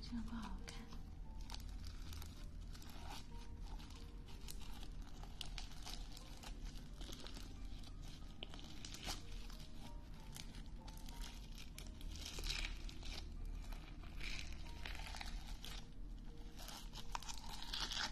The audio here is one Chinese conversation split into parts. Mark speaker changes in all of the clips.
Speaker 1: 这个不好看。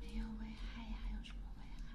Speaker 1: 没有危害呀，有什么危害？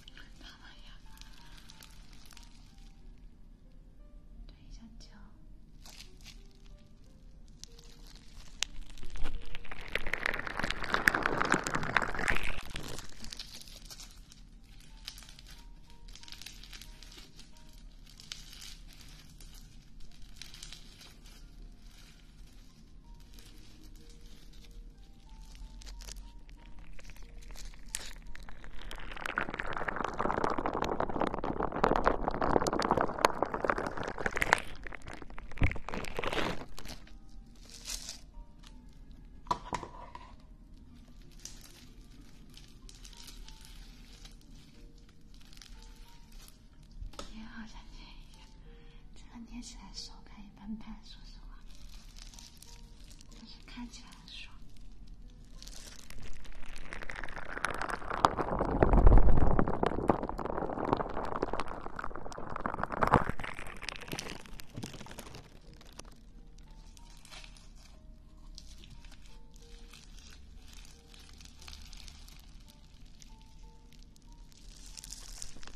Speaker 1: 对一下脚。也好想见你，这个捏起来手感。崩盘，说实话，但是看起来很爽。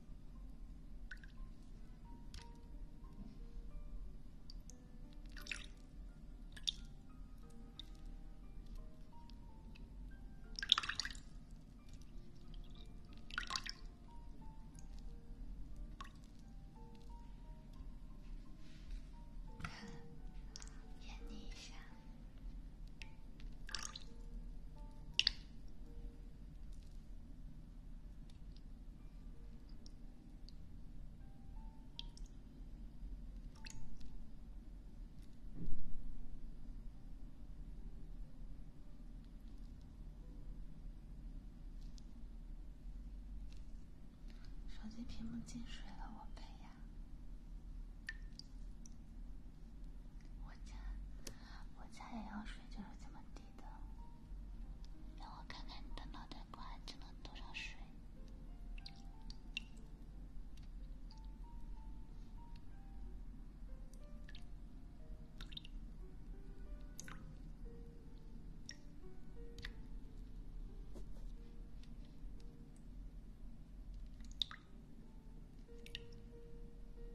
Speaker 1: 演你一下。手机屏幕进水了，我赔呀！我家我家也要水，就是这么滴。让我看看你的脑袋瓜进了多少水。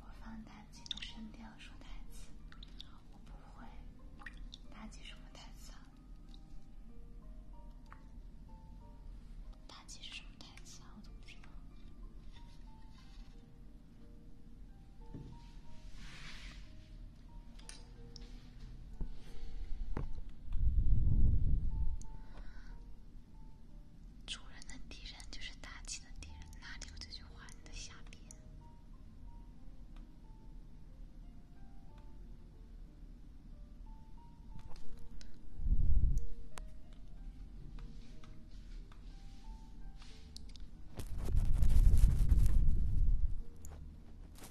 Speaker 1: 我放妲己的声调说台词，我不会。妲己什么台词？妲己是什么台词啊？我都不知道。主人的敌人就是妲己的敌人，哪里有这句话？你在瞎编。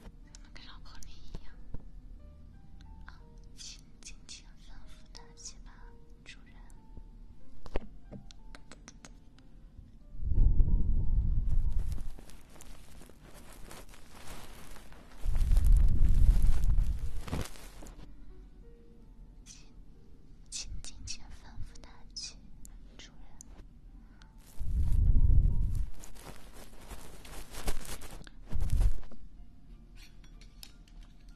Speaker 1: 怎么跟张口蜜一样？啊，请尽情吩咐妲己吧。主请，请尽情吩咐他起，主人。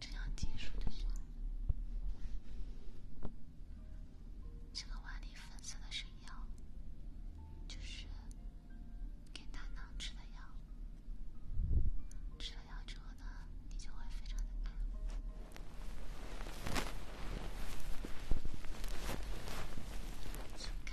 Speaker 1: 这样结束的。这个碗里粉色的是药，就是给大囊吃的药。吃了药之后呢，你就会非常的干。掀开。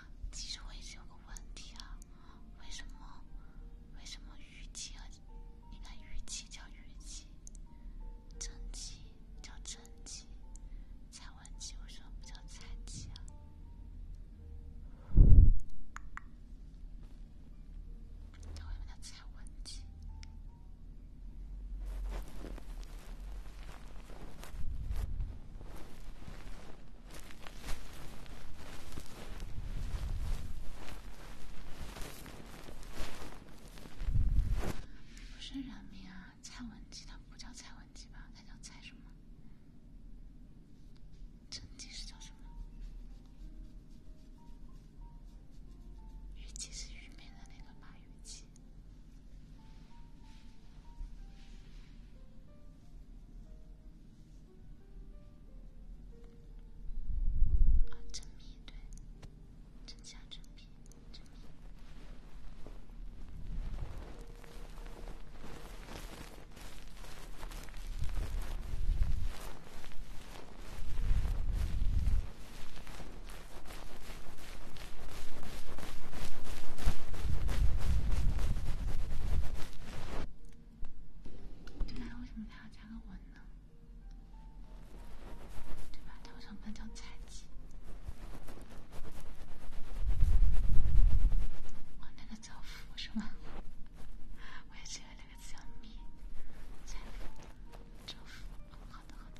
Speaker 1: 其实我一直有个问题啊，为什么为什么虞姬和你看虞姬叫虞姬，甄姬叫甄姬，蔡文姬为什么不叫蔡姬啊？为什么叫蔡文姬？不是人名啊，蔡文姬他不叫蔡文姬吧？他叫蔡什么？甄姬是叫什么？虞姬是虞美人那个马玉姬。啊，真皮对，真价真皮，真皮。对吧？为什么他要加个文呢？对吧？他想变成残疾。哦，那个政府是吗？我也记得那个字叫“秘”。政府，政府。好的，好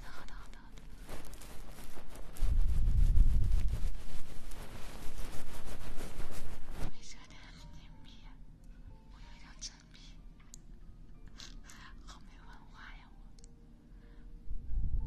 Speaker 1: 的，好的，好的，好的。规则太不严密，我有点沉迷。好没文化呀，我。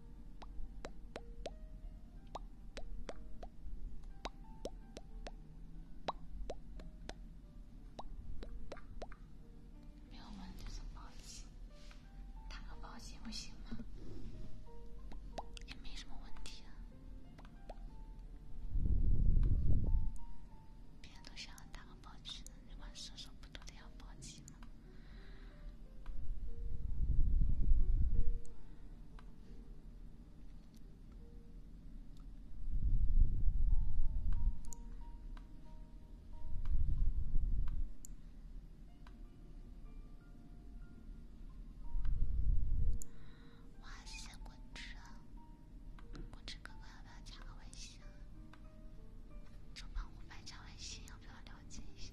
Speaker 1: 没有文就打个报打个报警不行吗？也没什么问题啊。别人都想打个报警，你玩射手不都得要报警吗？哇谢。果汁！果汁哥哥要不要加个微信？就帮我办加微信，要不要了解一下？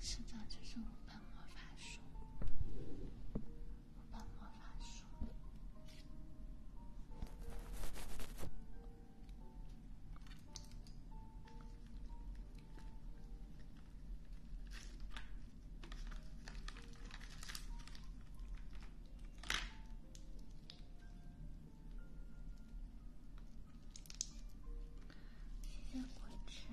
Speaker 1: 师长就是五本魔法书，五本魔法书。谢谢果汁。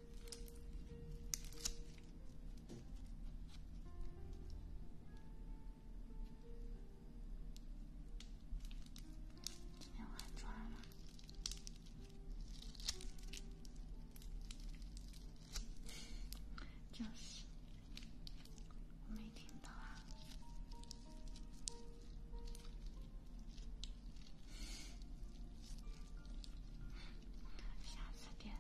Speaker 1: 要化妆吗？就是，我没听到啊。下次点。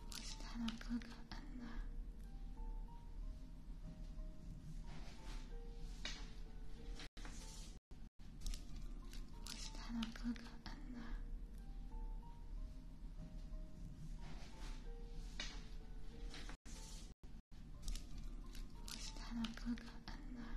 Speaker 1: 我是他的哥哥。安娜，我是他的哥哥，安娜。我是他的哥哥，安娜。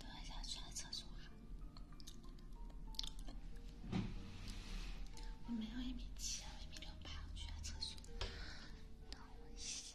Speaker 1: 等一下，去趟厕所哈。我没有一米七，我一米六八。我去趟厕所，等我一下。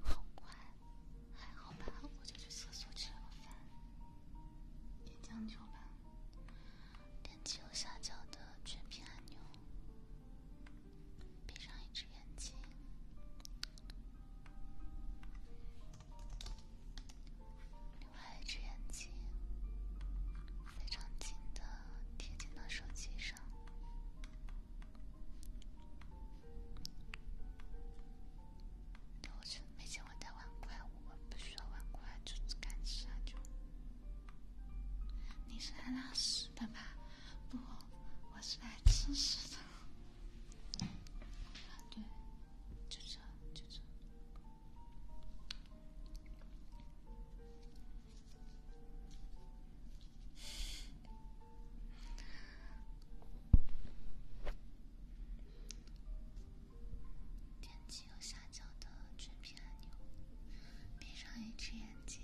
Speaker 1: 好快，还好吧？我就去厕所吃了饭，也将就吧。点击右下角的全屏按钮，闭上一只眼睛。另外一只眼睛非常近的贴近到手机上。都是没见过大碗筷，我不需要碗筷，就干吃就。你是来拉屎的吧？不，我是来吃屎的。对。就是就是，点击右下角的全屏按钮，闭上一只眼睛，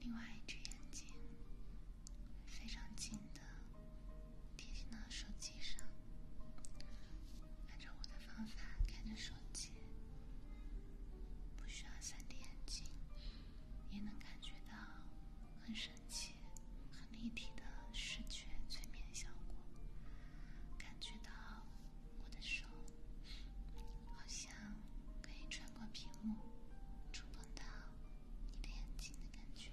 Speaker 1: 另外一只眼睛非常近。贴听到手机上，按照我的方法看着手机，不需要 3D 眼镜，也能感觉到很神奇、很立体的视觉催眠效果，感觉到我的手好像可以穿过屏幕，触碰到你的眼睛的感觉。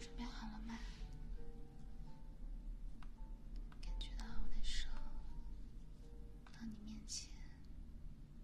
Speaker 1: 准备好了吗？感觉到我的手到你面前。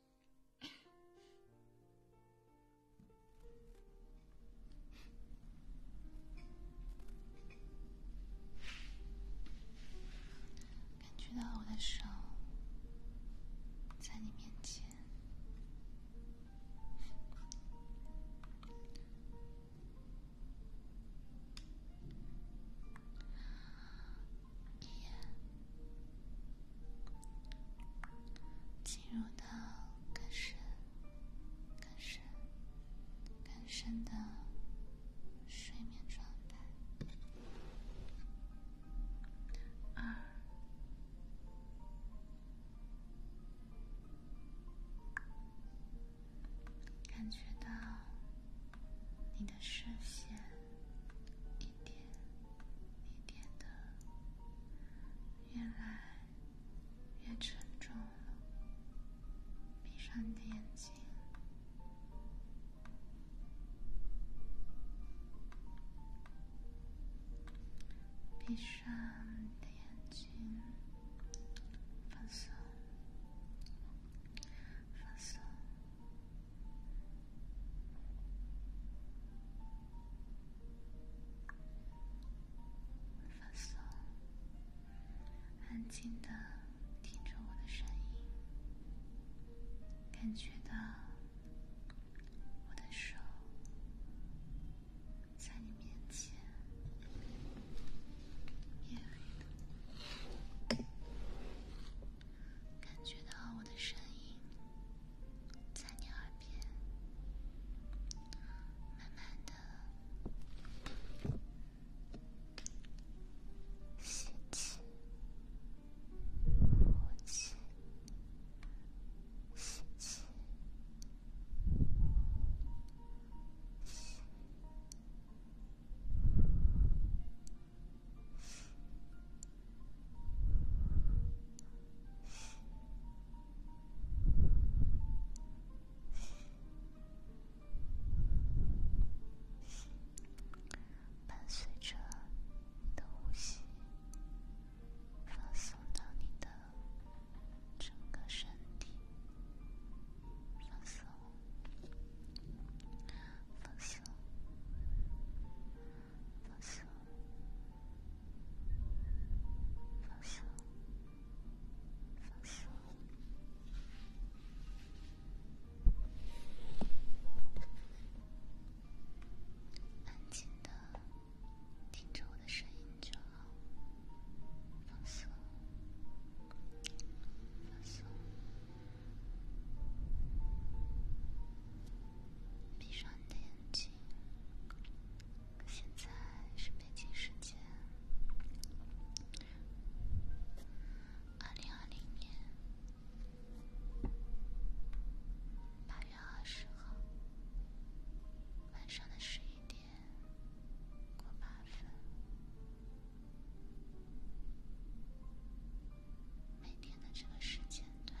Speaker 1: 感觉到我的手在你面前。一，进入到更深、更深、更深的睡眠状态。二，感觉到你的视线。一点一点的，越来越沉重了。闭上你的眼睛，闭上你的眼睛，放松，放松。放松，安静的听着我的声音，感觉到我的手在你面前感觉到我的声音。在你耳边，慢慢的吸气，呼气，吸气，吸。伴随着你的呼吸，放松到你的整个身体，放松，放松。放松，放松，放松，安静的听着我的声音就好。放松，放松，闭上你的眼睛。现在是北京时间，二零二零年八月二十号晚上的十一点过分。每天的这个时间段。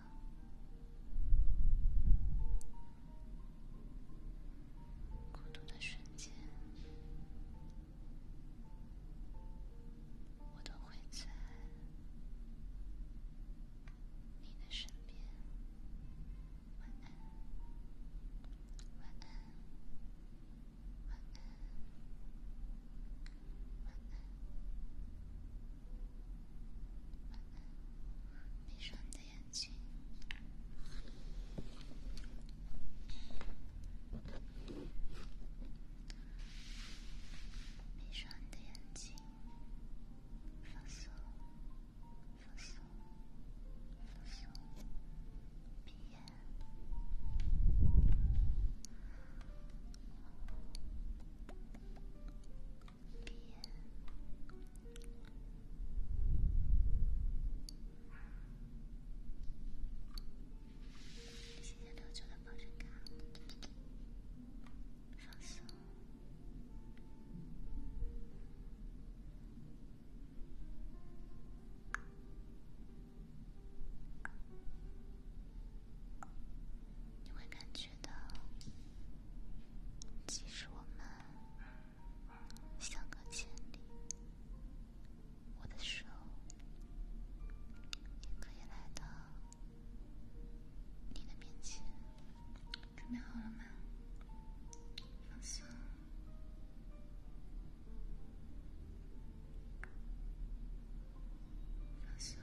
Speaker 1: 孤独的瞬间，我都会在你的身边。晚安，晚安，晚安。闭上你的眼睛，闭上你的眼睛，放松，放松，放松，闭眼。谢谢六九的保真卡，放松。你会感觉到，即使我们相隔千里，我的手也可以来到你的面前。准备好了吗？放松，放松。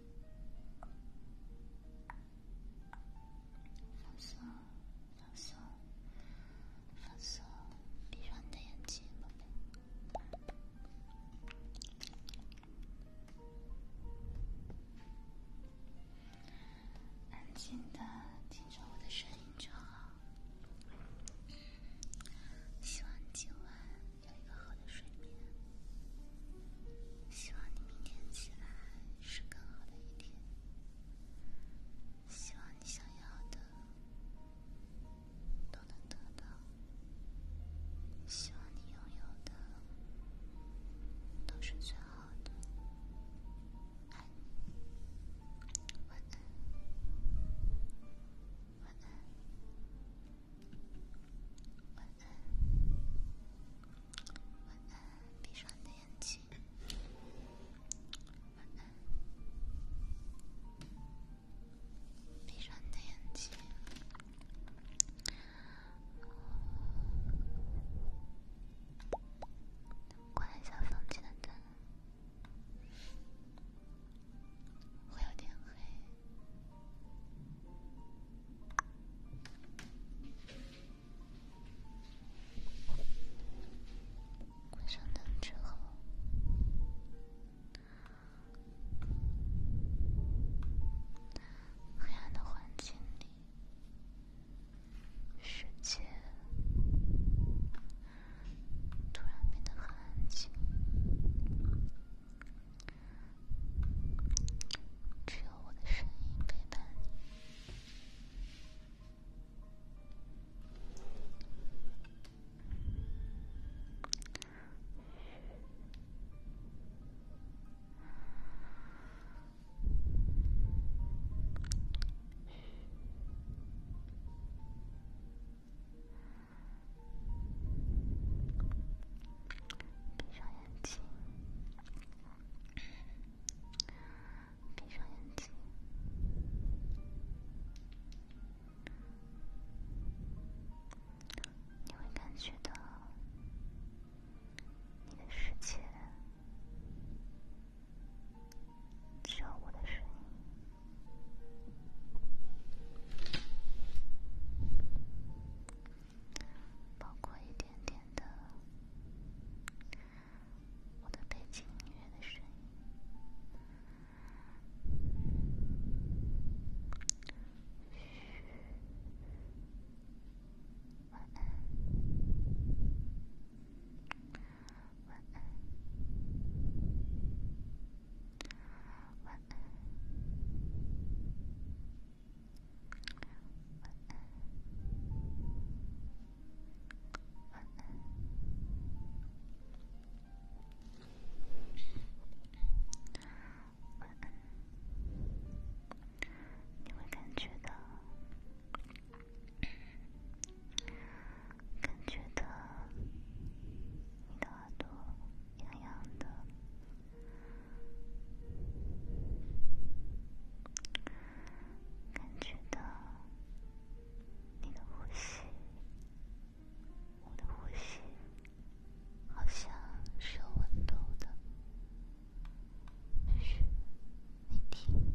Speaker 1: 放松，放松，放松，闭上你的眼睛，宝贝。安静的听着我的声音就好。希望今晚。有一个好的睡眠，希望你明天起来是更好的一天，希望你想要的都能得到，希望你拥有的都是最好的，晚安，晚安，晚。晚安，晚安，闭上的眼睛，晚安，闭上的眼睛，关一下房间的灯，会有点黑。关上灯之后，黑暗的环境里，世界突然变得很安静。只有我的声音陪伴闭上眼。眼睛，闭上眼睛，你会感觉到你的世界只有我的声音。包括一点点的我的背景音乐的声音。嘘，晚安，晚安，晚安。晚安，你会感觉到，感觉到你的耳朵痒痒的。感觉到你的呼吸，我的呼吸，好像是有温度的。嘘，你听。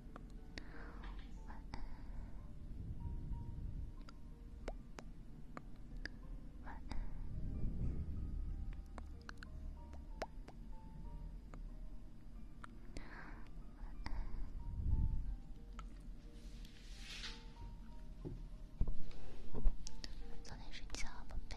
Speaker 1: 早点睡觉，宝贝。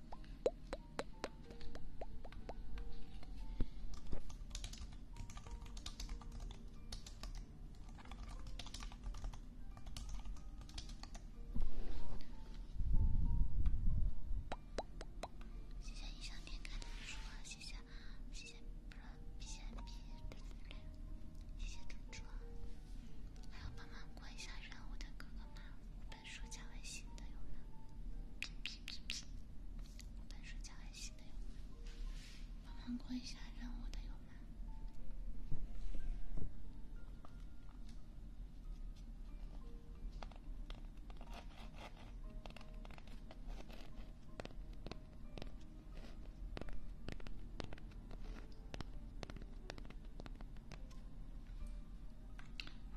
Speaker 1: 谢谢印象点点的猪啊！谢谢谢谢，不是谢谢谢谢的猪猪啊！还有帮忙过一下任务的哥哥们。半暑假还新的有吗？半暑假还新的有吗？帮忙过一下任务的有吗？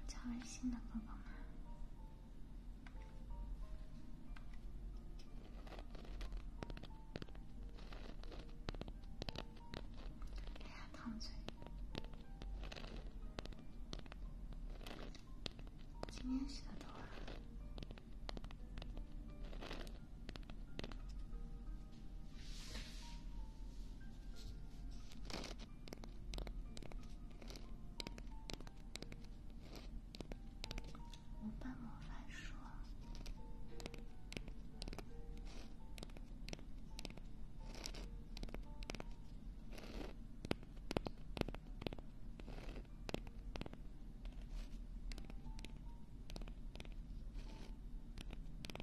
Speaker 1: 叫微信的哥哥吗？哎呀，烫嘴！今天洗的多啊。我办魔法书。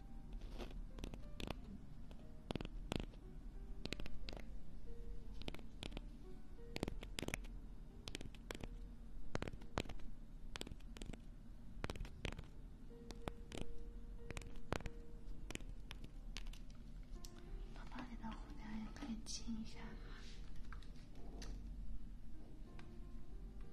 Speaker 1: 包包里的蝴蝶也可以亲一下。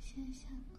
Speaker 1: 先下个。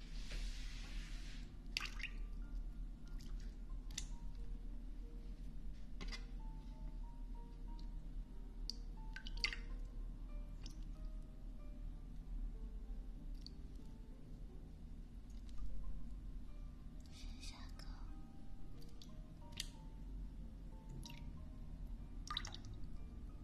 Speaker 1: 先下课。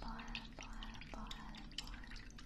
Speaker 1: 保安，保安，保安，保安，保安。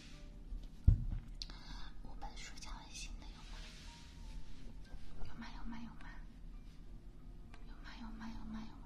Speaker 1: 我本书讲温馨的有吗？有吗？有吗？有吗？有吗？有吗？有吗？有吗？有吗？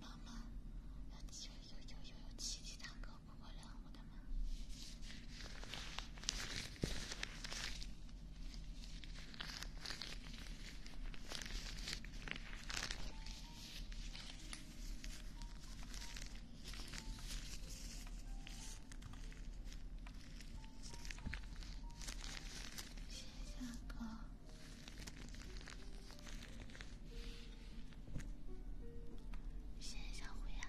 Speaker 1: 妈妈，有有有有有琪琪大哥过过任务的吗？线下课，线下会啊。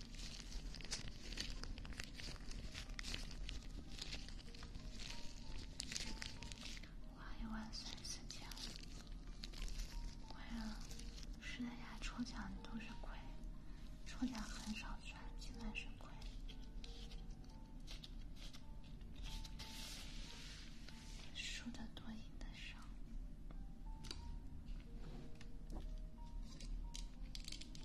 Speaker 1: 我一万四千五，乖了，实在家抽奖都是亏，抽奖很少赚，基本是亏，输的多，赢的少。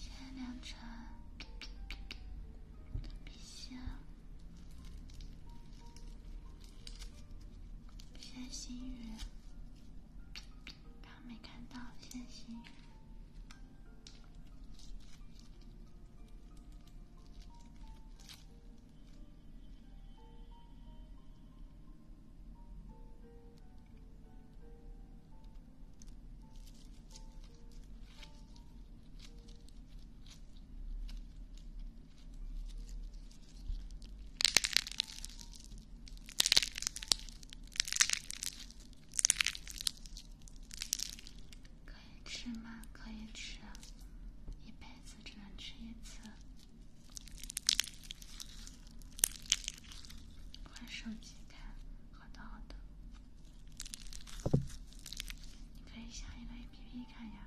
Speaker 1: 谢良辰，陛下，谢心雨，刚没看到，谢心。可以吃吗？可以吃，一辈子只能吃一次。换手机看，好的好的，你可以下一个 APP 看呀。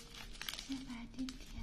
Speaker 1: 先白，甜甜。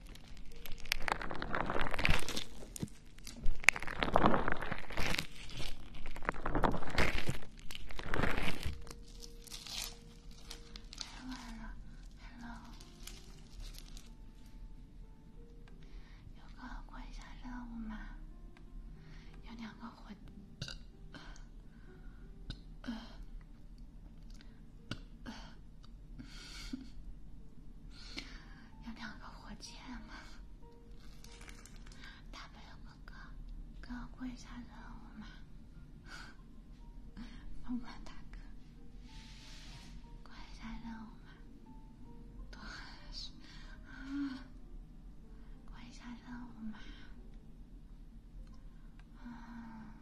Speaker 1: 太晚了，hello，有个关卡任务吗？有两个火。有 两个火箭吗？大哥过一下任务嘛！过一下任务嘛！多喝水啊！过下任务嘛！啊！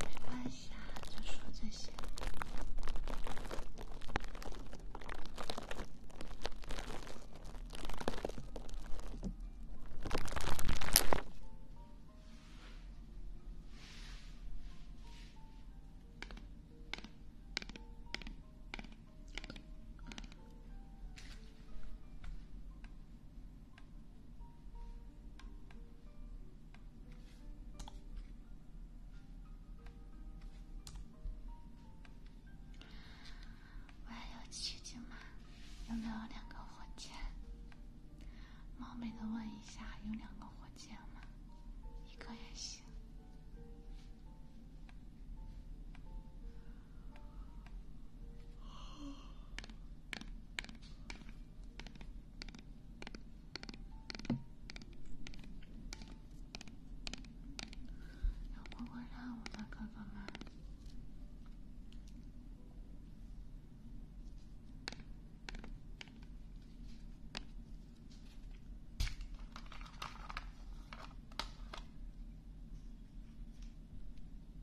Speaker 1: 没关系，就说这些。我还有七金吗？有没有两个火箭？冒昧的问一下，有两个火箭吗？一个也行。有乖乖任务的哥哥们。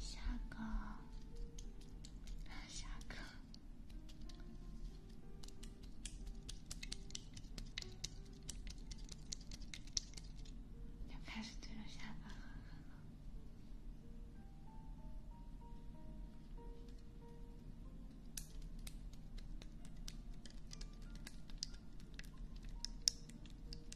Speaker 1: 下课，下课，要开始对着下巴狠狠了。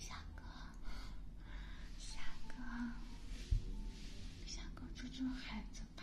Speaker 1: 夏哥，夏哥。像个猪猪孩子吧。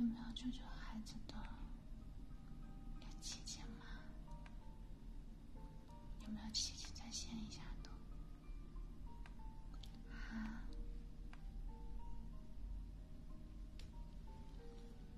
Speaker 1: 有没有救救孩子的姐姐吗？有没有姐姐在线一下的？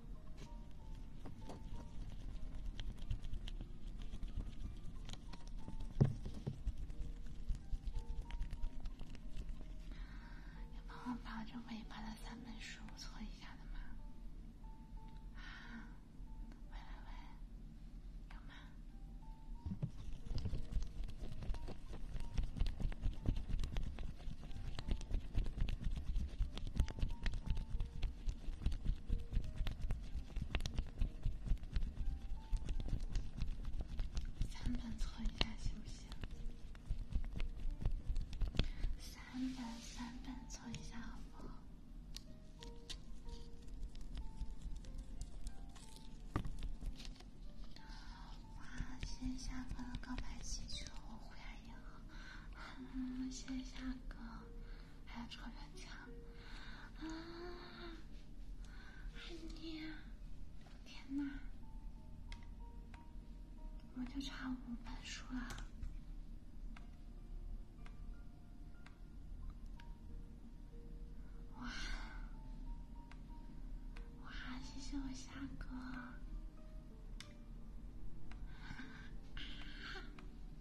Speaker 1: 有帮我把这尾巴的三本书搓一下的吗？啊，喂喂喂，有吗？三本凑一下行不行？三本三本凑一下好不好？哇，今天下哥的告白气球我回家以嗯，谢谢夏哥。还有钞票墙啊！爱你啊！天哪！我就差五本书了！哇哇！谢谢我夏哥。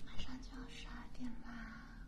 Speaker 1: 马上就要十二点啦。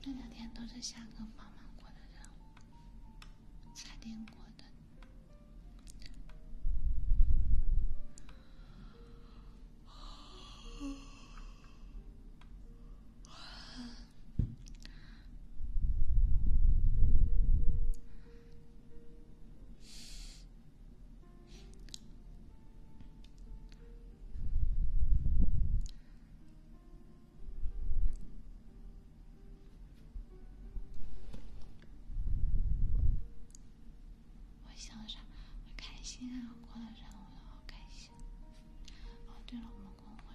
Speaker 1: 这两天都是夏哥帮忙过的任务，裁定过的。我想啥？我开心啊！过了生日，我好开心。哦，对了，我们工会。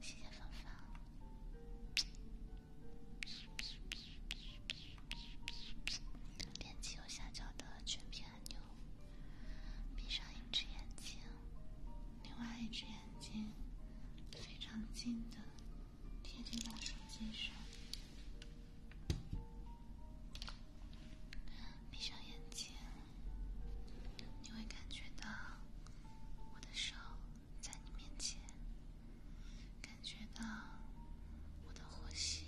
Speaker 1: 谢谢芳芳。点击右下角的全屏按钮。闭上一只眼睛，另外一只眼睛非常近的贴在手机上。闭上眼睛。你会感觉到我的手在你面前，感觉到我的呼吸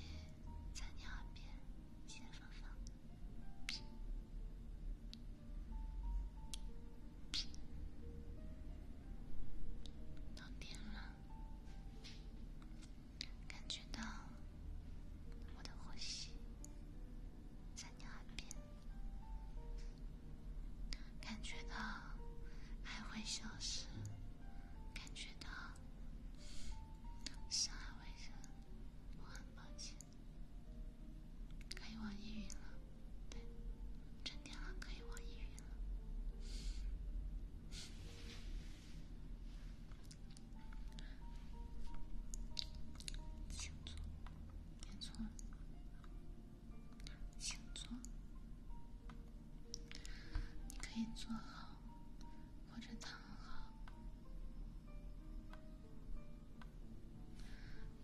Speaker 1: 在你耳边，谢谢芳芳。了，感觉到我的呼吸在你耳边。感觉到爱会消失，感觉到伤害为真，我很抱歉。可以网易云了，对，充电了可以网易云了，请坐。别坐，先坐。你可以坐好或者躺好，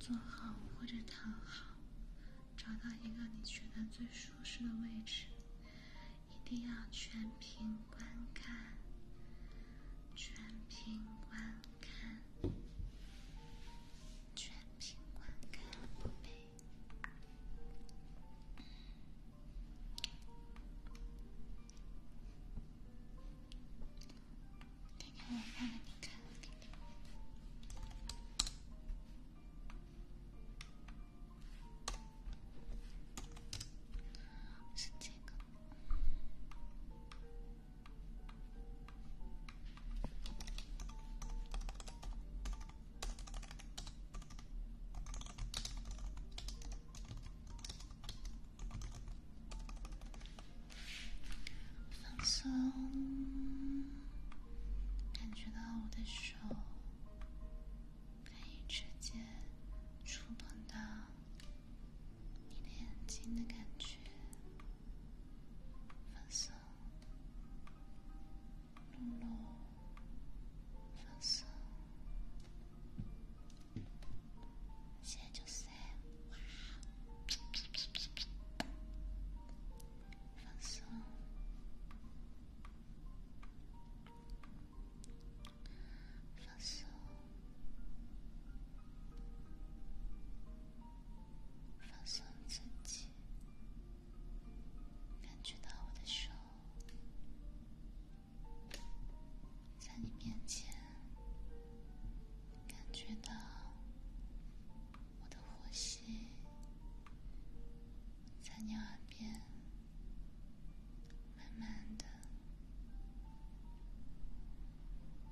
Speaker 1: 坐好或者躺好，找到一个你觉得最舒适的位置。一定要全屏观看，全屏观看。全凭我干杯！给我看看，你看是这个。放松，感觉到我的手可以直接触碰到你的眼睛的感觉。放松，露露，放松，现在就睡，哇，放松，放松。放松自己，感觉到我的手在你面前，感觉到我的呼吸在你耳边，慢慢的。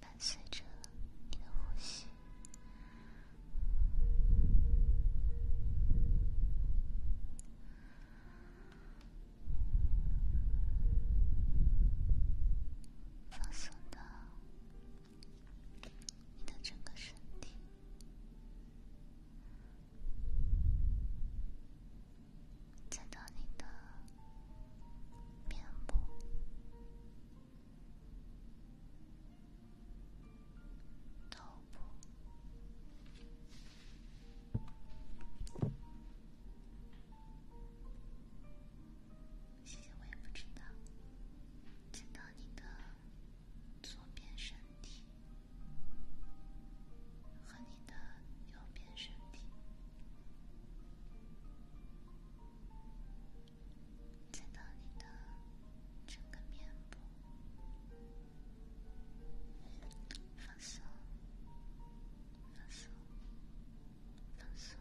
Speaker 1: 伴随着你的呼吸，放松的。你的整个身体，在到你的面部、头部。谢谢，我也不知道。见到你的左边身体和你的右边身体，见到你的整个面部，放松，放松，放松。